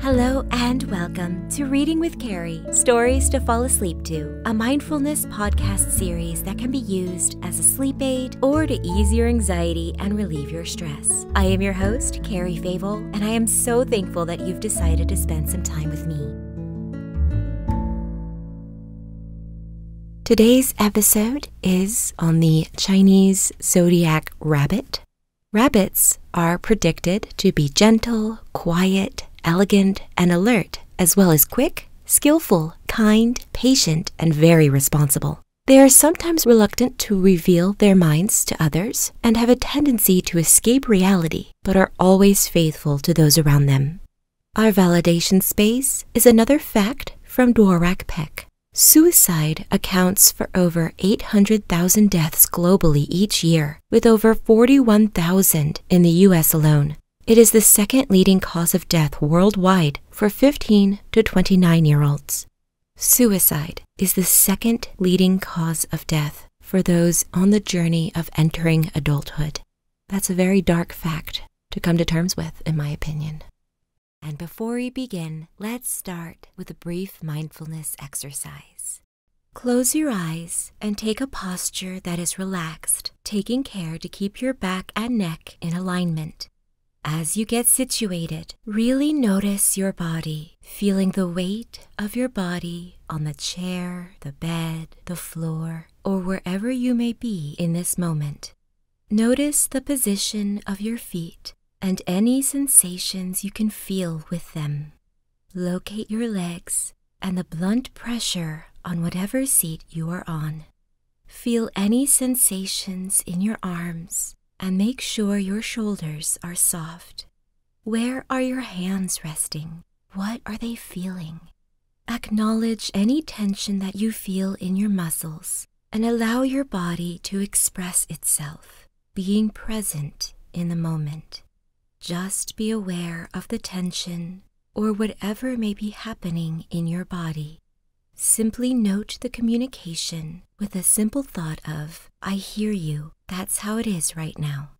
Hello and welcome to Reading with Carrie Stories to Fall Asleep to, a mindfulness podcast series that can be used as a sleep aid or to ease your anxiety and relieve your stress. I am your host, Carrie Favel, and I am so thankful that you've decided to spend some time with me. Today's episode is on the Chinese zodiac rabbit. Rabbits are predicted to be gentle, quiet, elegant, and alert, as well as quick, skillful, kind, patient, and very responsible. They are sometimes reluctant to reveal their minds to others and have a tendency to escape reality, but are always faithful to those around them. Our validation space is another fact from Dworak Peck. Suicide accounts for over 800,000 deaths globally each year, with over 41,000 in the US alone. It is the second leading cause of death worldwide for 15 to 29 year olds. Suicide is the second leading cause of death for those on the journey of entering adulthood. That's a very dark fact to come to terms with, in my opinion. And before we begin, let's start with a brief mindfulness exercise. Close your eyes and take a posture that is relaxed, taking care to keep your back and neck in alignment. As you get situated, really notice your body, feeling the weight of your body on the chair, the bed, the floor, or wherever you may be in this moment. Notice the position of your feet and any sensations you can feel with them. Locate your legs and the blunt pressure on whatever seat you are on. Feel any sensations in your arms and make sure your shoulders are soft. Where are your hands resting? What are they feeling? Acknowledge any tension that you feel in your muscles and allow your body to express itself, being present in the moment. Just be aware of the tension or whatever may be happening in your body. Simply note the communication with a simple thought of, I hear you, that's how it is right now.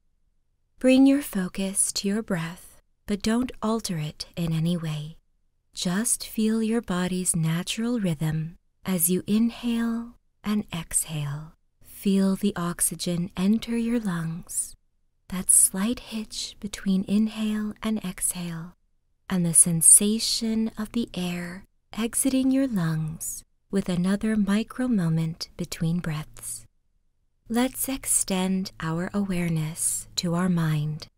Bring your focus to your breath, but don't alter it in any way. Just feel your body's natural rhythm as you inhale and exhale. Feel the oxygen enter your lungs, that slight hitch between inhale and exhale, and the sensation of the air exiting your lungs with another micro moment between breaths. Let's extend our awareness to our mind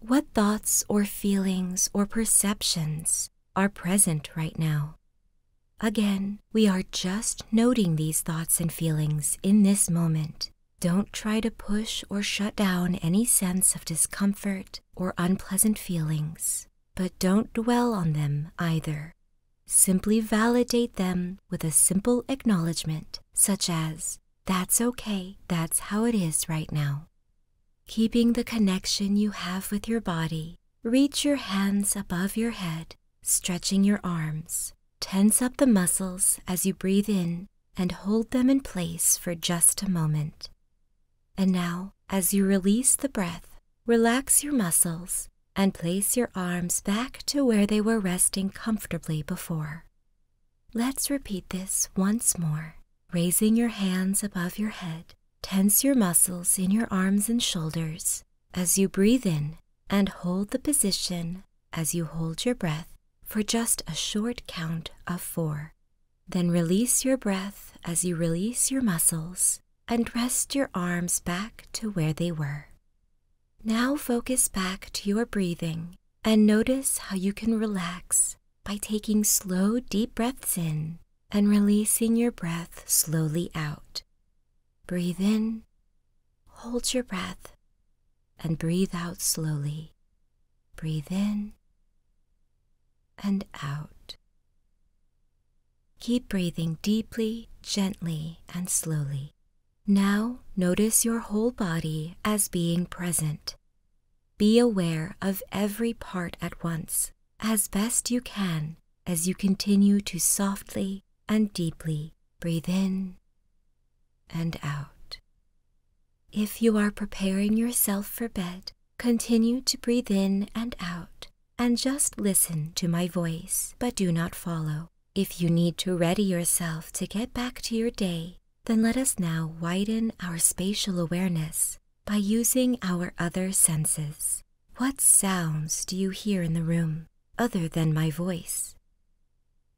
what thoughts or feelings or perceptions are present right now? Again, we are just noting these thoughts and feelings in this moment. Don't try to push or shut down any sense of discomfort or unpleasant feelings, but don't dwell on them either. Simply validate them with a simple acknowledgement, such as, that's okay, that's how it is right now. Keeping the connection you have with your body, reach your hands above your head, stretching your arms. Tense up the muscles as you breathe in and hold them in place for just a moment. And now, as you release the breath, relax your muscles and place your arms back to where they were resting comfortably before. Let's repeat this once more. Raising your hands above your head, tense your muscles in your arms and shoulders as you breathe in and hold the position as you hold your breath for just a short count of four. Then release your breath as you release your muscles and rest your arms back to where they were. Now focus back to your breathing and notice how you can relax by taking slow, deep breaths in and releasing your breath slowly out. Breathe in, hold your breath, and breathe out slowly. Breathe in and out. Keep breathing deeply, gently, and slowly now notice your whole body as being present. Be aware of every part at once, as best you can, as you continue to softly and deeply breathe in and out. If you are preparing yourself for bed, continue to breathe in and out and just listen to my voice, but do not follow. If you need to ready yourself to get back to your day, then let us now widen our spatial awareness by using our other senses. What sounds do you hear in the room other than my voice?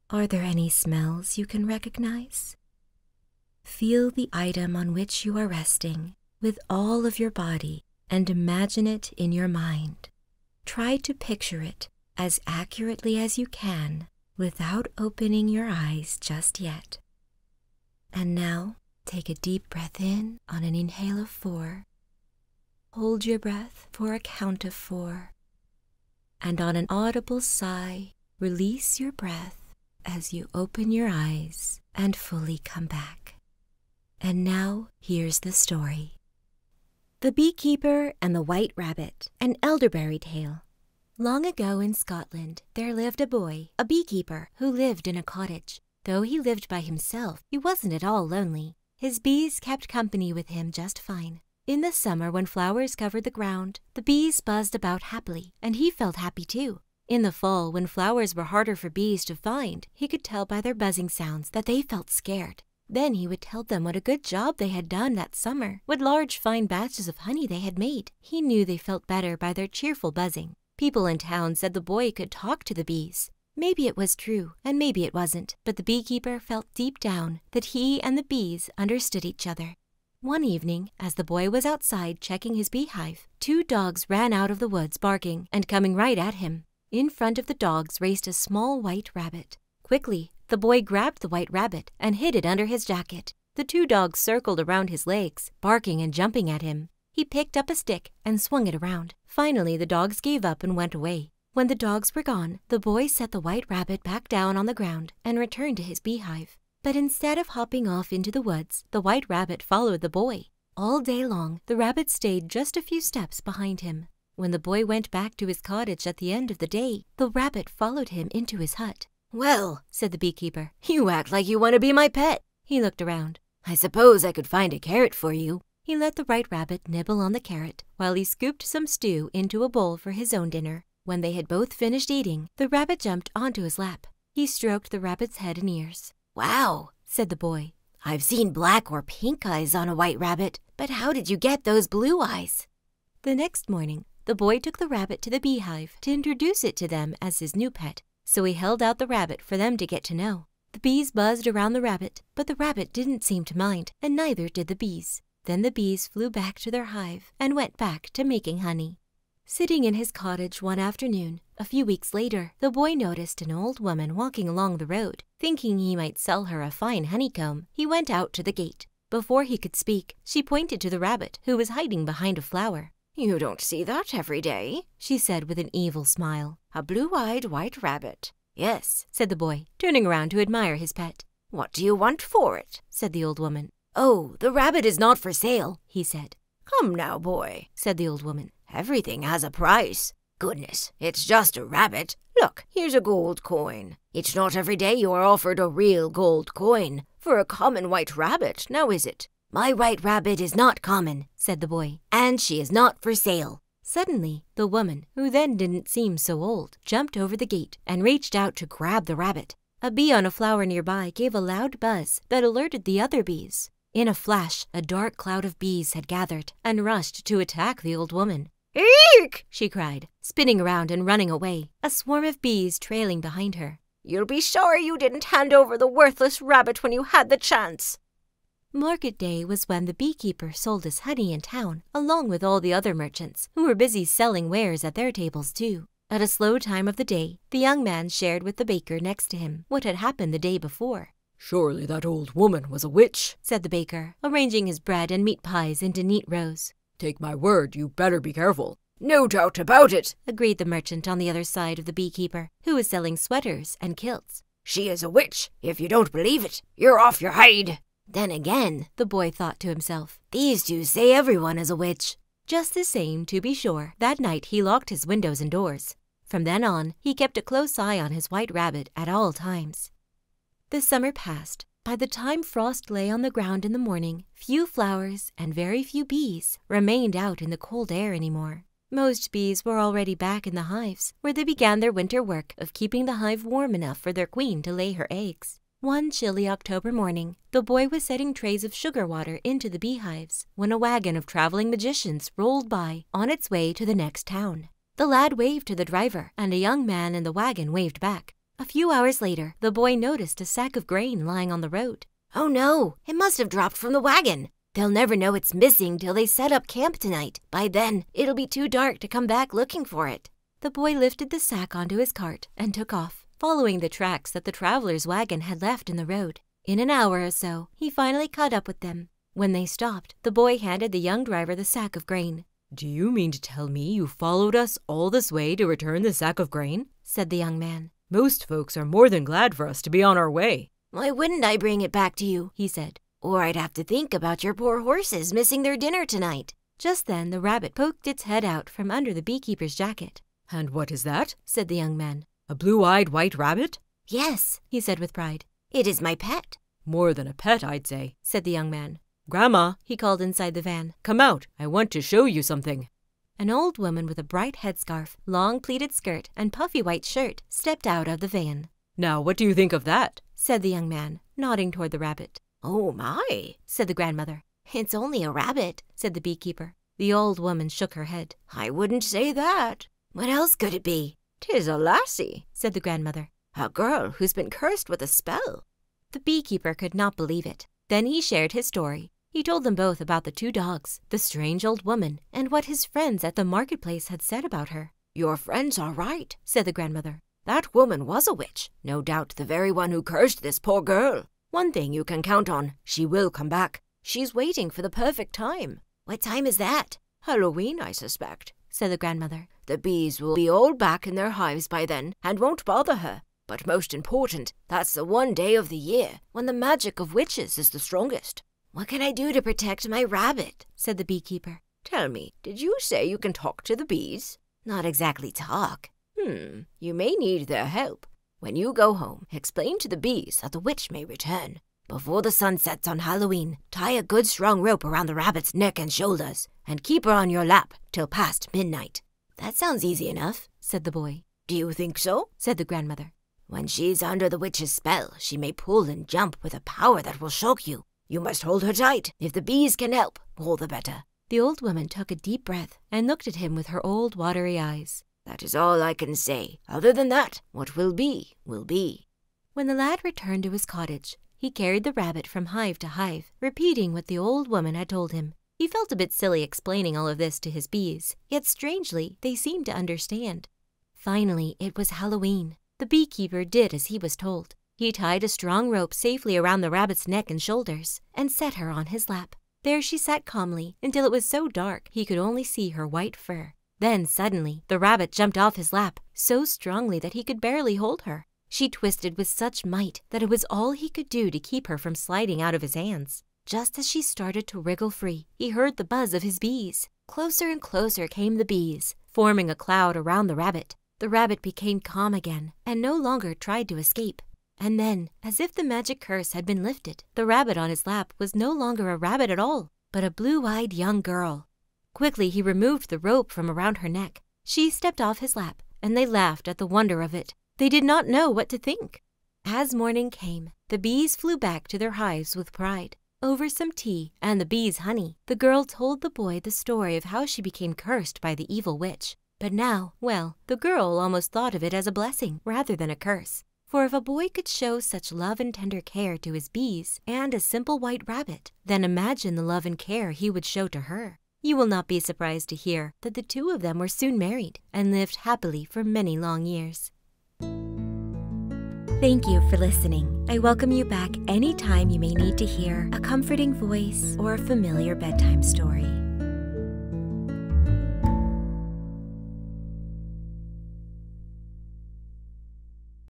Are there any smells you can recognize? Feel the item on which you are resting with all of your body and imagine it in your mind. Try to picture it as accurately as you can without opening your eyes just yet. And now take a deep breath in on an inhale of four. Hold your breath for a count of four. And on an audible sigh, release your breath as you open your eyes and fully come back. And now here's the story. The Beekeeper and the White Rabbit, an elderberry tale. Long ago in Scotland, there lived a boy, a beekeeper, who lived in a cottage. Though he lived by himself, he wasn't at all lonely. His bees kept company with him just fine. In the summer, when flowers covered the ground, the bees buzzed about happily, and he felt happy too. In the fall, when flowers were harder for bees to find, he could tell by their buzzing sounds that they felt scared. Then he would tell them what a good job they had done that summer, what large fine batches of honey they had made. He knew they felt better by their cheerful buzzing. People in town said the boy could talk to the bees. Maybe it was true, and maybe it wasn't, but the beekeeper felt deep down that he and the bees understood each other. One evening, as the boy was outside checking his beehive, two dogs ran out of the woods barking and coming right at him. In front of the dogs raced a small white rabbit. Quickly, the boy grabbed the white rabbit and hid it under his jacket. The two dogs circled around his legs, barking and jumping at him. He picked up a stick and swung it around. Finally, the dogs gave up and went away. When the dogs were gone, the boy set the white rabbit back down on the ground and returned to his beehive. But instead of hopping off into the woods, the white rabbit followed the boy. All day long, the rabbit stayed just a few steps behind him. When the boy went back to his cottage at the end of the day, the rabbit followed him into his hut. Well, said the beekeeper, you act like you want to be my pet. He looked around. I suppose I could find a carrot for you. He let the white rabbit nibble on the carrot while he scooped some stew into a bowl for his own dinner. When they had both finished eating, the rabbit jumped onto his lap. He stroked the rabbit's head and ears. Wow, said the boy. I've seen black or pink eyes on a white rabbit, but how did you get those blue eyes? The next morning, the boy took the rabbit to the beehive to introduce it to them as his new pet, so he held out the rabbit for them to get to know. The bees buzzed around the rabbit, but the rabbit didn't seem to mind, and neither did the bees. Then the bees flew back to their hive and went back to making honey. Sitting in his cottage one afternoon, a few weeks later, the boy noticed an old woman walking along the road. Thinking he might sell her a fine honeycomb, he went out to the gate. Before he could speak, she pointed to the rabbit, who was hiding behind a flower. You don't see that every day, she said with an evil smile. A blue-eyed white rabbit. Yes, said the boy, turning around to admire his pet. What do you want for it? said the old woman. Oh, the rabbit is not for sale, he said. Come now, boy, said the old woman. Everything has a price. Goodness, it's just a rabbit. Look, here's a gold coin. It's not every day you are offered a real gold coin for a common white rabbit, now is it? My white rabbit is not common, said the boy, and she is not for sale. Suddenly, the woman, who then didn't seem so old, jumped over the gate and reached out to grab the rabbit. A bee on a flower nearby gave a loud buzz that alerted the other bees. In a flash, a dark cloud of bees had gathered and rushed to attack the old woman. Eek! she cried, spinning around and running away, a swarm of bees trailing behind her. You'll be sure you didn't hand over the worthless rabbit when you had the chance. Market day was when the beekeeper sold his honey in town, along with all the other merchants, who were busy selling wares at their tables too. At a slow time of the day, the young man shared with the baker next to him what had happened the day before. Surely that old woman was a witch, said the baker arranging his bread and meat pies into neat rows. Take my word, you better be careful. No doubt about it, agreed the merchant on the other side of the beekeeper, who was selling sweaters and kilts. She is a witch. If you don't believe it, you're off your hide. Then again, the boy thought to himself, these two say everyone is a witch. Just the same, to be sure, that night he locked his windows and doors. From then on, he kept a close eye on his white rabbit at all times. The summer passed. By the time frost lay on the ground in the morning, few flowers and very few bees remained out in the cold air any more. Most bees were already back in the hives, where they began their winter work of keeping the hive warm enough for their queen to lay her eggs. One chilly October morning, the boy was setting trays of sugar water into the beehives when a wagon of traveling magicians rolled by on its way to the next town. The lad waved to the driver, and a young man in the wagon waved back. A few hours later, the boy noticed a sack of grain lying on the road. Oh no, it must have dropped from the wagon. They'll never know it's missing till they set up camp tonight. By then, it'll be too dark to come back looking for it. The boy lifted the sack onto his cart and took off, following the tracks that the traveler's wagon had left in the road. In an hour or so, he finally caught up with them. When they stopped, the boy handed the young driver the sack of grain. Do you mean to tell me you followed us all this way to return the sack of grain? said the young man. Most folks are more than glad for us to be on our way. Why wouldn't I bring it back to you? he said. Or I'd have to think about your poor horses missing their dinner tonight. Just then the rabbit poked its head out from under the beekeeper's jacket. And what is that? said the young man. A blue eyed white rabbit? Yes, he said with pride. It is my pet. More than a pet, I'd say, said the young man. Grandma, he called inside the van, come out. I want to show you something. An old woman with a bright headscarf, long pleated skirt, and puffy white shirt stepped out of the van. Now, what do you think of that? said the young man, nodding toward the rabbit. Oh, my, said the grandmother. It's only a rabbit, said the beekeeper. The old woman shook her head. I wouldn't say that. What else could it be? "'Tis a lassie," said the grandmother, "a girl who's been cursed with a spell." The beekeeper could not believe it. Then he shared his story. He told them both about the two dogs, the strange old woman, and what his friends at the marketplace had said about her. "Your friends are right," said the grandmother. "That woman was a witch, no doubt the very one who cursed this poor girl. One thing you can count on, she will come back. She's waiting for the perfect time." "What time is that?" Halloween, I suspect, said the grandmother. The bees will be all back in their hives by then and won't bother her. But most important, that's the one day of the year when the magic of witches is the strongest. What can I do to protect my rabbit? said the beekeeper. Tell me, did you say you can talk to the bees? Not exactly talk. Hmm, you may need their help. When you go home, explain to the bees that the witch may return. Before the sun sets on Halloween, Tie a good strong rope around the rabbit's neck and shoulders, and keep her on your lap till past midnight. That sounds easy enough, said the boy. Do you think so? said the grandmother. When she's under the witch's spell, she may pull and jump with a power that will shock you. You must hold her tight. If the bees can help, all the better. The old woman took a deep breath and looked at him with her old watery eyes. That is all I can say. Other than that, what will be, will be. When the lad returned to his cottage, he carried the rabbit from hive to hive, repeating what the old woman had told him. He felt a bit silly explaining all of this to his bees, yet strangely they seemed to understand. Finally, it was Halloween. The beekeeper did as he was told. He tied a strong rope safely around the rabbit's neck and shoulders and set her on his lap. There she sat calmly until it was so dark he could only see her white fur. Then suddenly the rabbit jumped off his lap so strongly that he could barely hold her. She twisted with such might that it was all he could do to keep her from sliding out of his hands. Just as she started to wriggle free, he heard the buzz of his bees. Closer and closer came the bees, forming a cloud around the rabbit. The rabbit became calm again and no longer tried to escape. And then, as if the magic curse had been lifted, the rabbit on his lap was no longer a rabbit at all, but a blue-eyed young girl. Quickly he removed the rope from around her neck. She stepped off his lap, and they laughed at the wonder of it. They did not know what to think. As morning came, the bees flew back to their hives with pride. Over some tea and the bees' honey, the girl told the boy the story of how she became cursed by the evil witch. But now, well, the girl almost thought of it as a blessing rather than a curse. For if a boy could show such love and tender care to his bees and a simple white rabbit, then imagine the love and care he would show to her. You will not be surprised to hear that the two of them were soon married and lived happily for many long years. Thank you for listening. I welcome you back anytime you may need to hear a comforting voice or a familiar bedtime story.